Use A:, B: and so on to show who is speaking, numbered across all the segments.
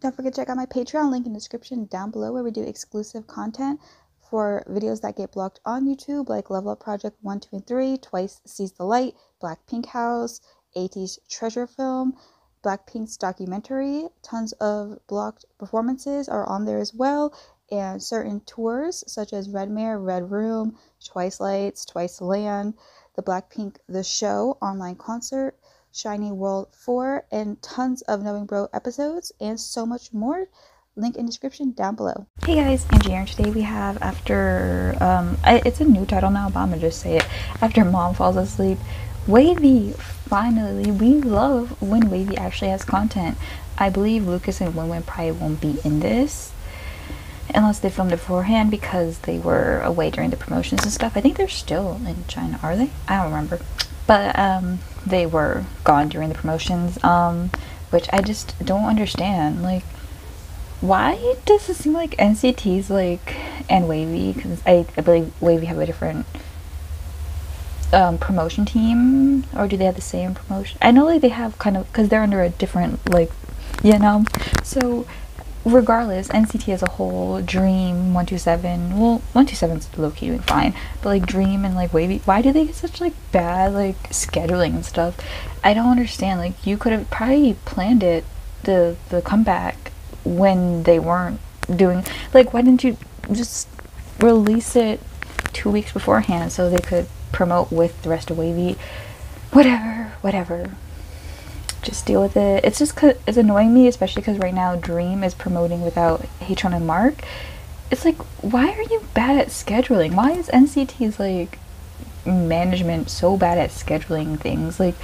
A: Don't forget to check out my Patreon link in the description down below where we do exclusive content for videos that get blocked on YouTube, like Level Up Project 1, 2, and 3, Twice Seize the Light, Blackpink House, 80s Treasure Film, Blackpink's documentary. Tons of blocked performances are on there as well, and certain tours such as Red Mare, Red Room, Twice Lights, Twice Land, the Blackpink The Show online concert, Shiny World 4, and tons of Knowing Bro episodes and so much more. Link in description down below. Hey guys, Angie here. Today we have after um, it's a new title now, but I'm gonna just say it. After mom falls asleep, Wavy. Finally, we love when Wavy actually has content. I believe Lucas and Winwin probably won't be in this unless they filmed it beforehand because they were away during the promotions and stuff. I think they're still in China, are they? I don't remember. But um, they were gone during the promotions, um, which I just don't understand. Like, why does it seem like NCT's like and Wavy? Because I, believe Wavy have a different um, promotion team, or do they have the same promotion? I know like they have kind of because they're under a different like, you know. So regardless, NCT as a whole, Dream, 127, well, 127's low key fine, but like Dream and like Wavy, why do they get such like bad like scheduling and stuff? I don't understand. Like, you could have probably planned it, the, the comeback, when they weren't doing, like, why didn't you just release it two weeks beforehand so they could promote with the rest of Wavy? Whatever, whatever just deal with it. It's just it's annoying me, especially because right now Dream is promoting without Hatron and Mark. It's like, why are you bad at scheduling? Why is NCT's like management so bad at scheduling things? Like,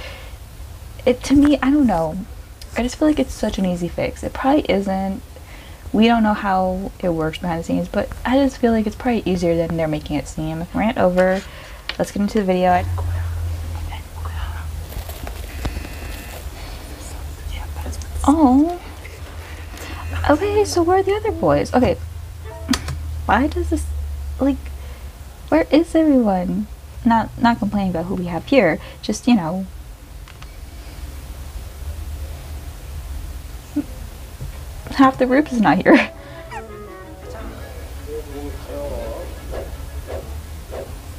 A: it to me, I don't know. I just feel like it's such an easy fix. It probably isn't. We don't know how it works behind the scenes, but I just feel like it's probably easier than they're making it seem. Rant over let's get into the video. Oh. Okay, so where are the other boys? Okay. Why does this like where is everyone? Not not complaining about who we have here, just you know. Half the group is not here.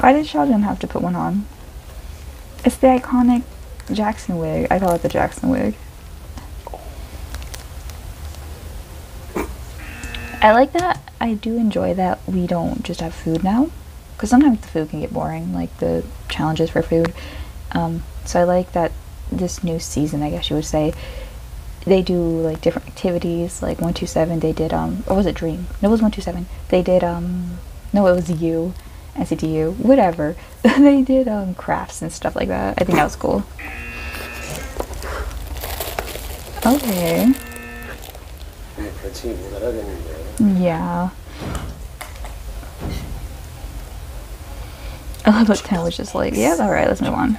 A: Why did Sheldon have to put one on? It's the iconic Jackson wig. I call it the Jackson wig. I like that. I do enjoy that we don't just have food now. Because sometimes the food can get boring, like the challenges for food. Um, so I like that this new season, I guess you would say, they do like different activities. Like one two seven, they did um, or was it Dream? No, it was one two seven. They did um, no, it was you, NCTU, whatever. they did um crafts and stuff like that. I think that was cool. Okay. Yeah. I love how Ken was just like, yeah, alright, let's move on.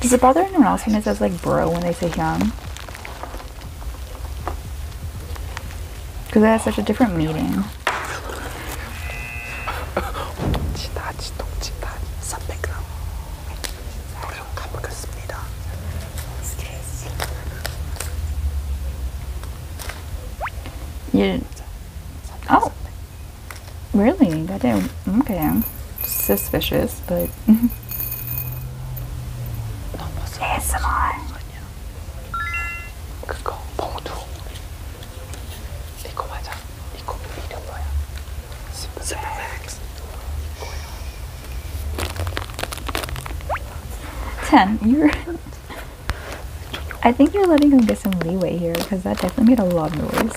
A: Does it bother anyone else when it says like bro when they say young? Because it has such a different meaning. You Oh. Really? Goddamn. Okay. Suspicious, but.
B: ASMR. 그거 봉투 이거 맞아 이거 이름 뭐야 스프렉스
A: 10 you're I think you're letting him get some leeway here because that definitely made a lot of noise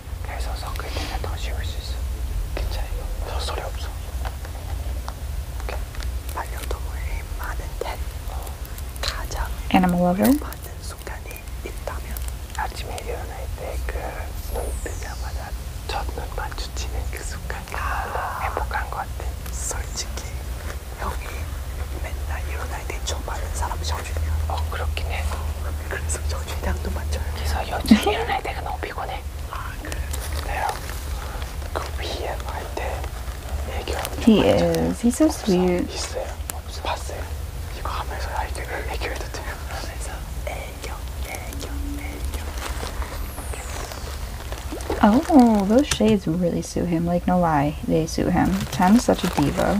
B: 해서 섞을 때는 더 쉬울 수 있어. 괜찮아 이거. 더 소리 없어. 오케이. 반려동물
A: 많은 데 가장 animal lover 받는 순간이
B: 있다면 아침에 일어날 때그눈 뜨자마자 첫눈 마주치는 그 순간 아, 행복한 것 같아. 솔직히 형이 맨날 일어날 때저 많은 사람 셔주냐? 어 그렇긴 해.
A: He is. He's so sweet. 있어요.
B: 없어. 봤어요.
A: Oh, those shades really suit him. Like no lie, they suit him. Tan is such a diva.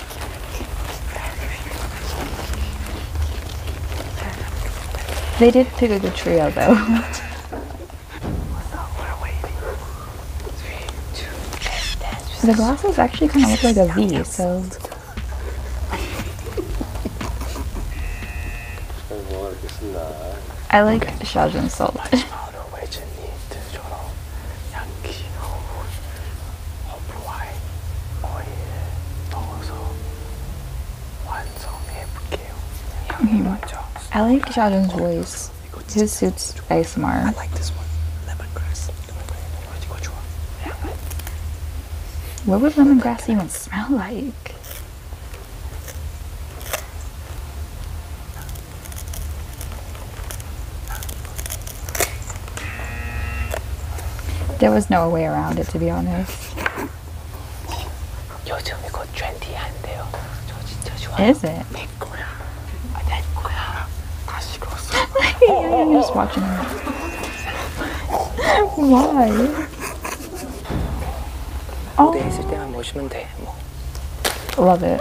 A: They did pick a good trio though. the glasses actually kind of look like a V, so. I like Shajin so much.
B: 好的维持你自主咯，人健康好壞，我
A: 嘢多數運作咩唔叫。I like Sheldon's voice. His suits ASMR. I like this one. Lemongrass. What would lemongrass even smell like? There was no way around it, to be honest.
B: 요즘 it? 내 거야.
A: you're just watching it. Why? 무대 oh. Love it.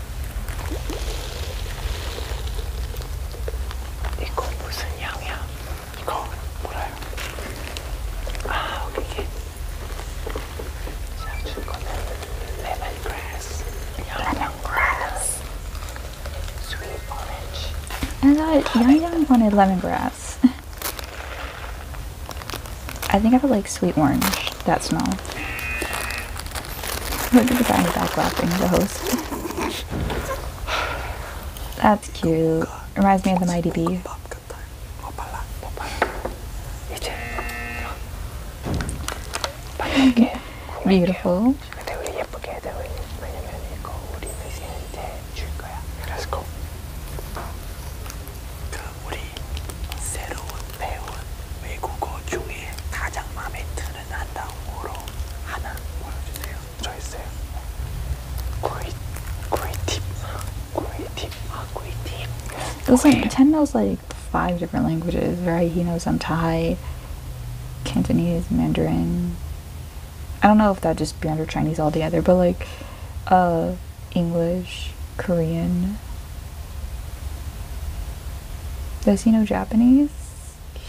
B: They call Busan Yang Yang. 이거 몰라요. 아, 오케이. 제가 줄 거는 lemongrass. Lemongrass. Sweet orange.
A: I Yang Yang wanted lemongrass. I think I would like sweet orange. That's not. Look at the backpack wrapping the hose. That's cute. Reminds me of the Mighty Bee. Beautiful.
B: 배운 외국어 중에 가장 마음에 드는 한 단어로 하나 보여주세요. 저 있어요.
A: Great, great tip. Great tip. Great tip. Those like Ten knows like five different languages, right? He knows some Thai, Cantonese, Mandarin. I don't know if that just be under Chinese altogether, but like, uh, English, Korean. Does he know Japanese?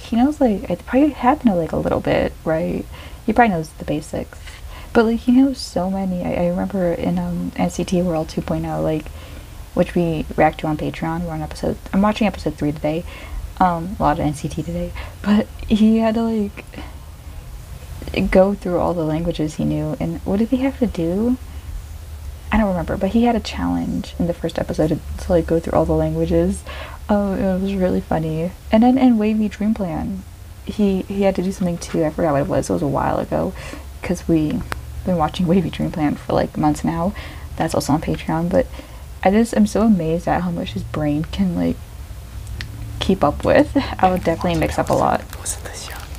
A: He knows like I probably had to know like a little bit, right? He probably knows the basics, but like he knows so many. I, remember in NCT um, World 2.0, like which we react to on Patreon. We're on episode. I'm watching episode three today. Um, a lot of NCT today, but he had to like go through all the languages he knew. And what did he have to do? I don't remember, but he had a challenge in the first episode to like go through all the languages. Oh, it was really funny. And then in Wavy Dream Plan, he he had to do something too. I forgot what it was. It was a while ago, because we have been watching Wavy Dream Plan for like months now. That's also on Patreon. But I just am so amazed at how much his brain can like keep up with. I would definitely mix up a lot.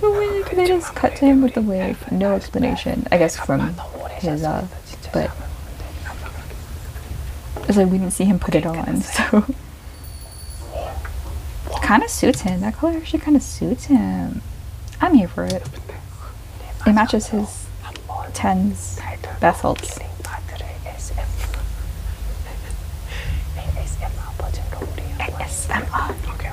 A: the wave. They just cut to him with the wave. No explanation. I guess from his uh, but it's like we didn't see him put it on, so kind of suits him. That color actually kind of suits him. I'm here for it. It matches his tens bezels. ASMR. Okay.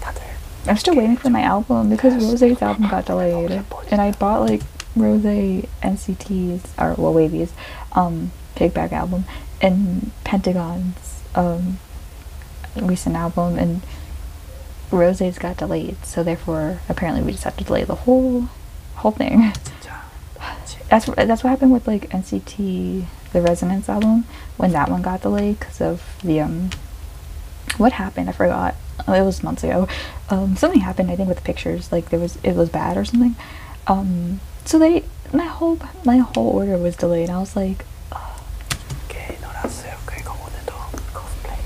A: 다들 oh. I'm still waiting for my album because Rose's album got delayed, and I bought like Rose's NCT's or well Wavy's Pigback um, album and Pentagon's um, recent album, and Rose's got delayed, so therefore apparently we just have to delay the whole whole thing. That's that's what happened with like NCT, the Resonance album when that one got delayed because of the um, what happened? I forgot. Oh, it was months ago. Um, something happened I think with pictures. Like there was it was bad or something. Um, so they my whole my whole order was delayed. I was like.
B: Okay, no, that's it. Okay, go on the dog. Go play.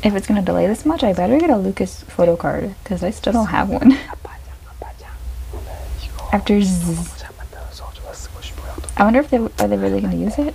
A: If it's gonna delay this much, I better get a Lucas photo card, cause I still don't have one. After I wonder if they are they really gonna use it.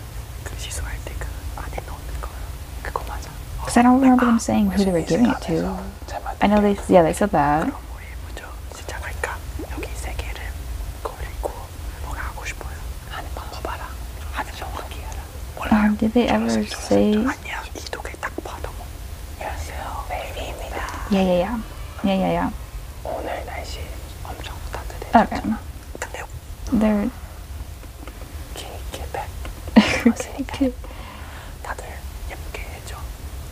B: 그 시소할 때그
A: 안에 넣는 거 그거 맞아. Because I don't remember them saying who they were giving it to. I know they, yeah, they said that. 그럼 우리 먼저
B: 시작할까? 여기 세 개를 고르고 뭐가 하고 싶어요?
A: 하는 방법 알아. 하는 정확히 알아. 몰라. Um, did they ever say? 아니야, 이두개딱 봐도 뭐. 안녕하세요, 베이비입니다. Yeah, yeah, yeah. Yeah, yeah, yeah.
B: 오늘 날씨 엄청
A: 따뜻해. Okay. 근데 they're. Okay, get back. okay. 다들 예쁘게 해줘.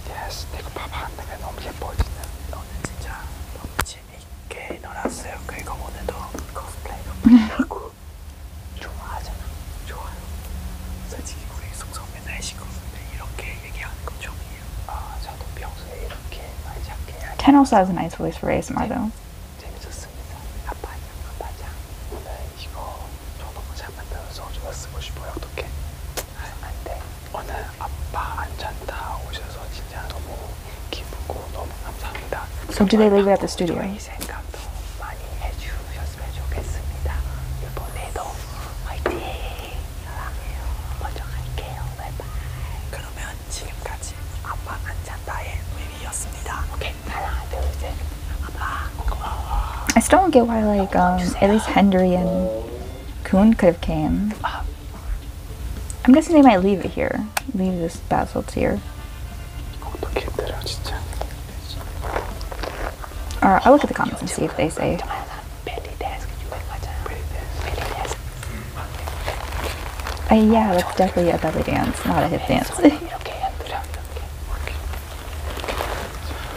A: Yes, 내가 봐봐. 내가 너무
B: 예뻐진다. 너는 진짜 너무 재밌게 놀았어요. 그리고 오늘도 코스프레 하고 좋아하잖아. 좋아요. 솔직히 우리 송성 맨날 시커먼데 이렇게 얘기하는 거 처음이에요.
A: 아, 저도 평소에 이렇게 말 작게. Ken also has a nice voice for ASMR though. 재밌었습니다. 아빠짱
B: 오늘 이거 저번에 만들어서 제가 쓰고 싶어요. 어떡해? 안돼. 오늘 아빠 안찬다 오셔서 진짜 너무 기쁘고 너무 감사합니다. So do they leave it at the studio? 생각도 많이 해주셨으면 좋겠습니다. 이번에도 화이팅! 사랑해요. 먼저 갈게요. 바이바이. 그러면
A: I still don't get why like um, at least Hendry and Kuhn could have came. I'm guessing they might leave it here. Leave this basalt here. Or I'll look at the comments and see if they say. Uh, yeah, that's definitely a belly dance, not a hip dance.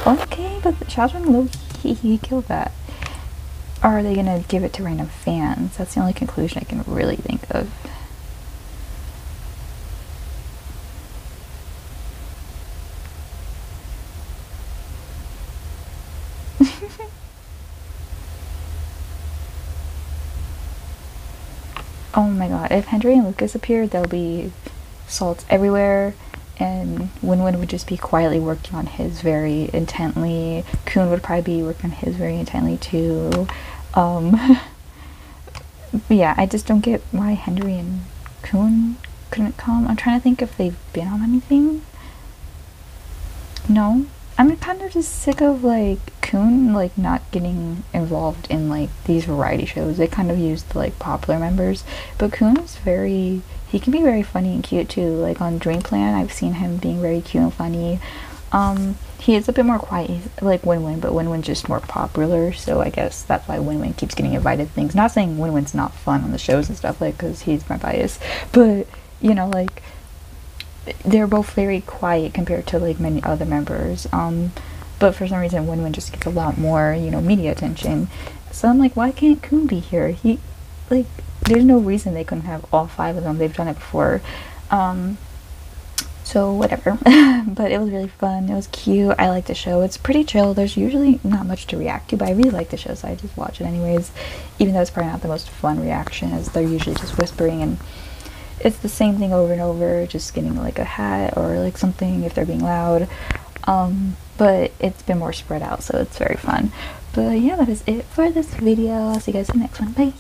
A: okay, but the children he, he killed that. are they gonna give it to random fans? That's the only conclusion I can really think of. oh my god, if Henry and Lucas appear, there'll be salts everywhere, and Winwin would just be quietly working on his very intently. Coon would probably be working on his very intently too. Um, yeah, I just don't get why Henry and Coon couldn't come. I'm trying to think if they've been on anything. No, I'm kind of just sick of like Kun like not getting involved in like these variety shows. They kind of used like popular members, but Coon's very he can be very funny and cute too. Like on Dreamplan, I've seen him being very cute and funny. Um, he is a bit more quiet, He's like Win Win, but Win Win's just more popular, so I guess that's why Win Win keeps getting invited things. Not saying Win Win's not fun on the shows and stuff, like, because he's my bias, but you know, like, they're both very quiet compared to like many other members. Um, but for some reason, Win Win just gets a lot more, you know, media attention. So I'm like, why can't Coon be here? He, like, there's no reason they couldn't have all five of them. They've done it before. Um, so whatever. but it was really fun. It was cute. I like the show. It's pretty chill. There's usually not much to react to, but I really like the show, so I just watch it anyways. Even though it's probably not the most fun reaction, as they're usually just whispering and it's the same thing over and over, just getting like a hat or like something if they're being loud. Um, but it's been more spread out, so it's very fun. But yeah, that is it for this video. I'll see you guys in the next one. Bye.